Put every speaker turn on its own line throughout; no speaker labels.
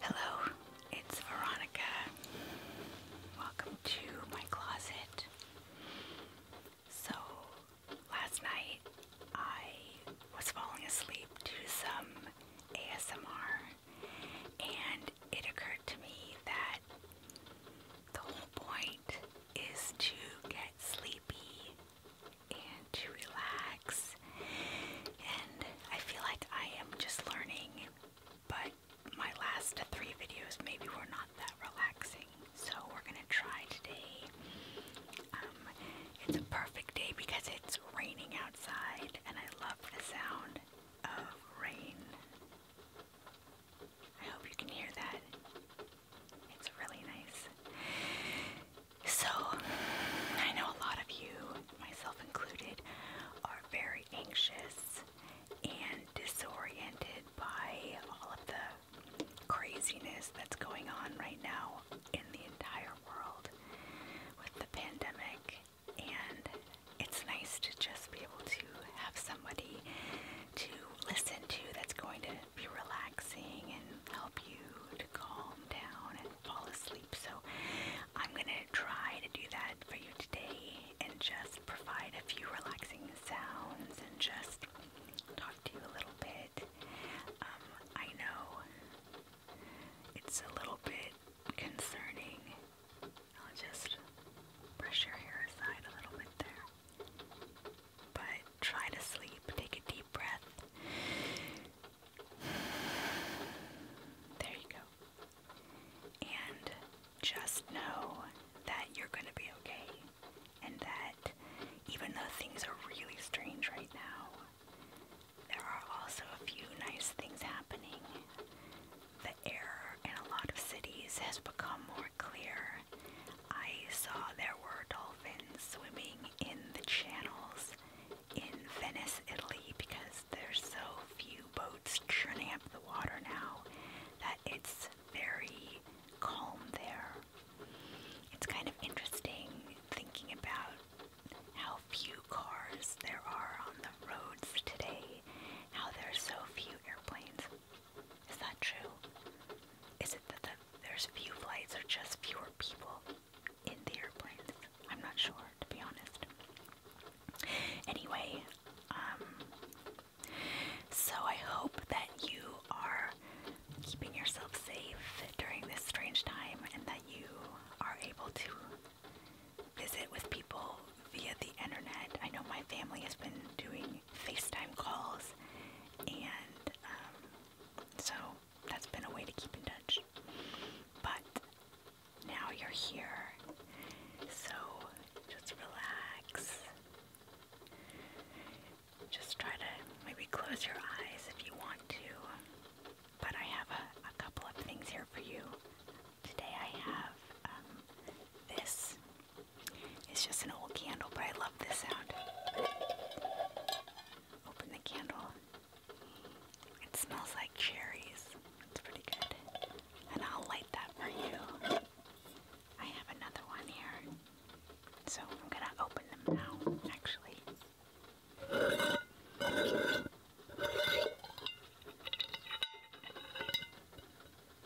Hello, it's Veronica. Welcome to my closet. So, last night I was falling asleep to some ASMR, and it occurred to me that the whole point is to get sleepy and to relax. And I feel like I am just learning, but my last three videos maybe were not that relaxing. So we're gonna try today. Um, it's a perfect day because it's raining outside, and I love the sound of rain. I hope you can hear that. It's really nice. So, I know a lot of you, myself included, are very anxious and disoriented by all of the craziness that's going on right now in the entire world with the pandemic. And it's nice to just be able to have somebody to listen to that's going to be relaxing and help you to calm down and fall asleep. So I'm going to try to do that for you today and just provide a few relaxing sounds and just talk to you a little bit. Um, I know it's a little bit concerning. I'll just brush your hair aside a little bit there. But Try to sleep. Take a deep breath. There you go. And just know that you're going to be okay. And that even though things are really strange right now, there are also a few nice things happening. The air in a lot of cities has become more clear, I saw there were dolphins swimming in the channels in Venice, Italy, because there's so few boats churning up the water now that it's very calm there. It's kind of interesting thinking about how few cars there are on the roads today, how there's so few airplanes. Is that true? Is it that the, there's few flights or just fewer people in the airplanes? I'm not sure, to be honest. Anyway, um, so I hope that you are keeping yourself safe during this strange time and that you are able to visit with people via the internet. I know my family has been doing FaceTime calls, and um, so that's been a way to keep in touch. But now you're here, so just relax. Just try to maybe close your eyes if you want to. But I have a, a couple of things here for you. Today I have um, this it's just an old candle, but I love this sound. Open the candle. It smells like cherries. It's pretty good. And I'll light that for you. I have another one here. So I'm going to open them now, actually.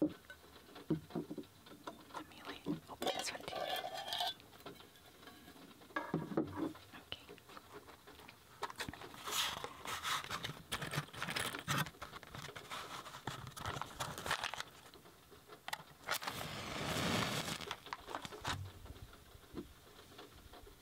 Let me like open this one too. Okay.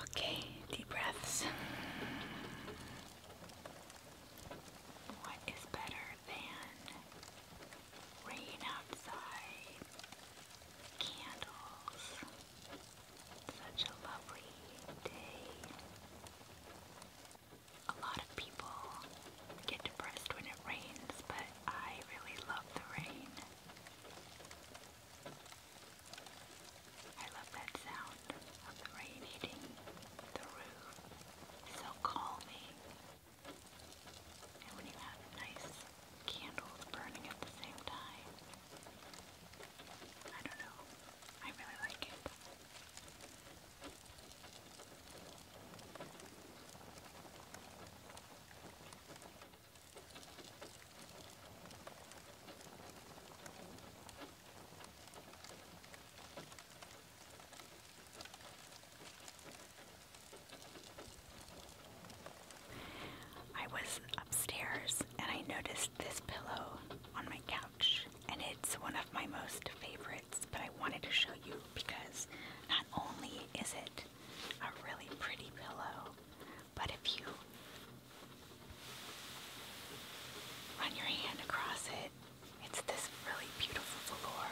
Okay, deep breaths. What is better than rain outside, candles, such a lovely day. A lot of people get depressed when it rains, but I really love the rain. I love that sound of the rain hitting the roof. so calming. And when you have nice candles burning at the same time, I don't know. I really like it. I was upstairs and I noticed this pillow on my couch, and it's one of my most favorites. But I wanted to show you because not only is it a really pretty pillow, but if you run your hand across it, it's this really beautiful velour.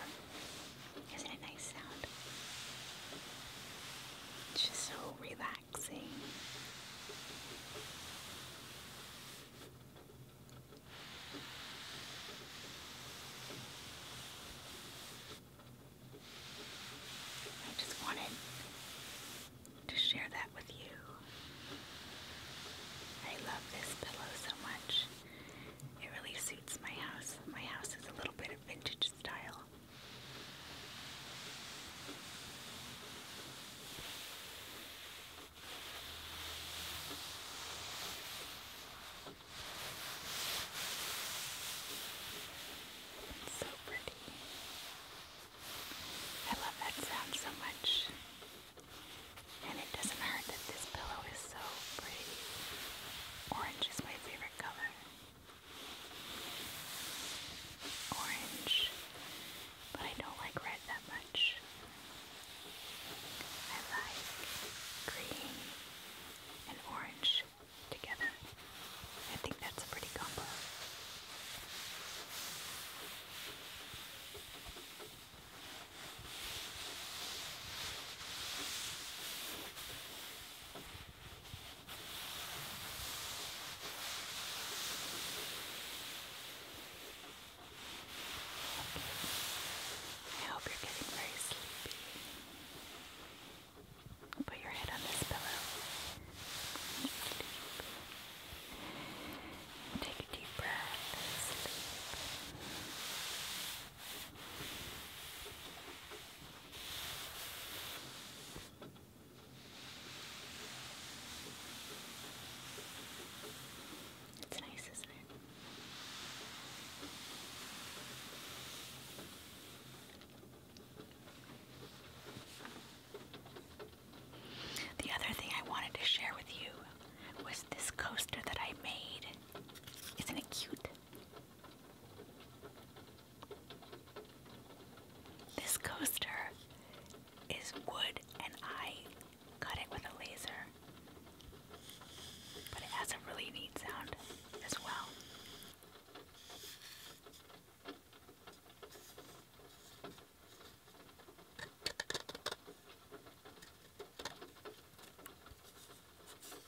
Isn't it nice sound? It's just so relaxed relaxing. I just wanted to share that with you. I love this pillow so much. It really suits my house. My house is a little bit of vintage style. It's so pretty. I love that sound so much. And it doesn't hurt that this pillow is so pretty. Orange is my favorite color orange, but I don't like red that much. I like green and orange together. I think that's a pretty combo. I hope you're getting very sleepy. Put your head on this pillow. Sleep. Take a deep breath. Sleep. It's nice, isn't it? The other thing I wanted to share with you was this coaster that I made. Isn't it cute? This coaster is wood, and I cut it with a laser. But it has a really neat sound as well.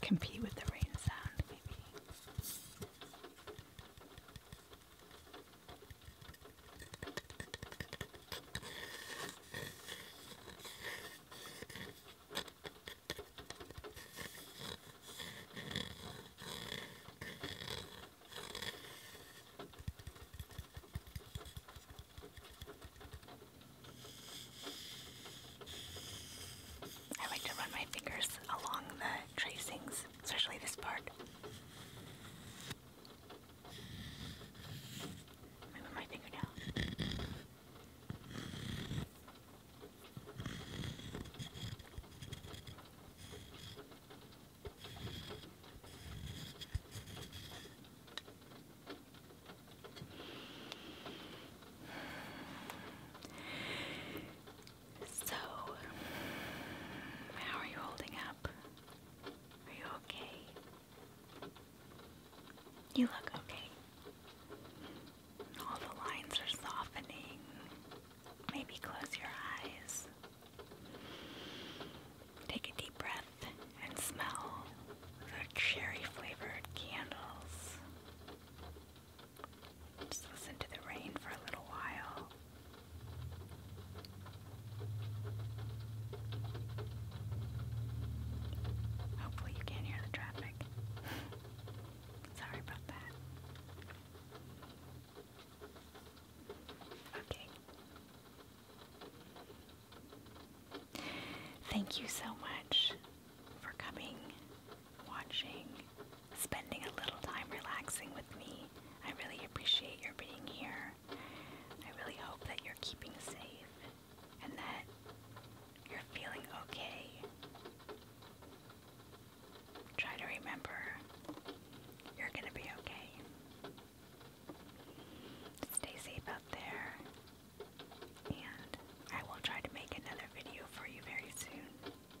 Compete with the rain sound, maybe. I like to run my fingers along the tracings, especially this part. my fingernail. So, how are you holding up? Are you okay? You look okay. All the lines are softening. Maybe close your eyes. Take a deep breath and smell the cherry flavored candles. Just listen to the rain for a little while. Hopefully, you can hear the traffic. Sorry about that. Okay. Thank you so much for coming, watching, spending a little time relaxing with me. I really appreciate your being here. I really hope that you're keeping safe and that you're feeling okay. Try to remember you're going to be okay. Stay safe out there, and I will try to make another video for you very soon.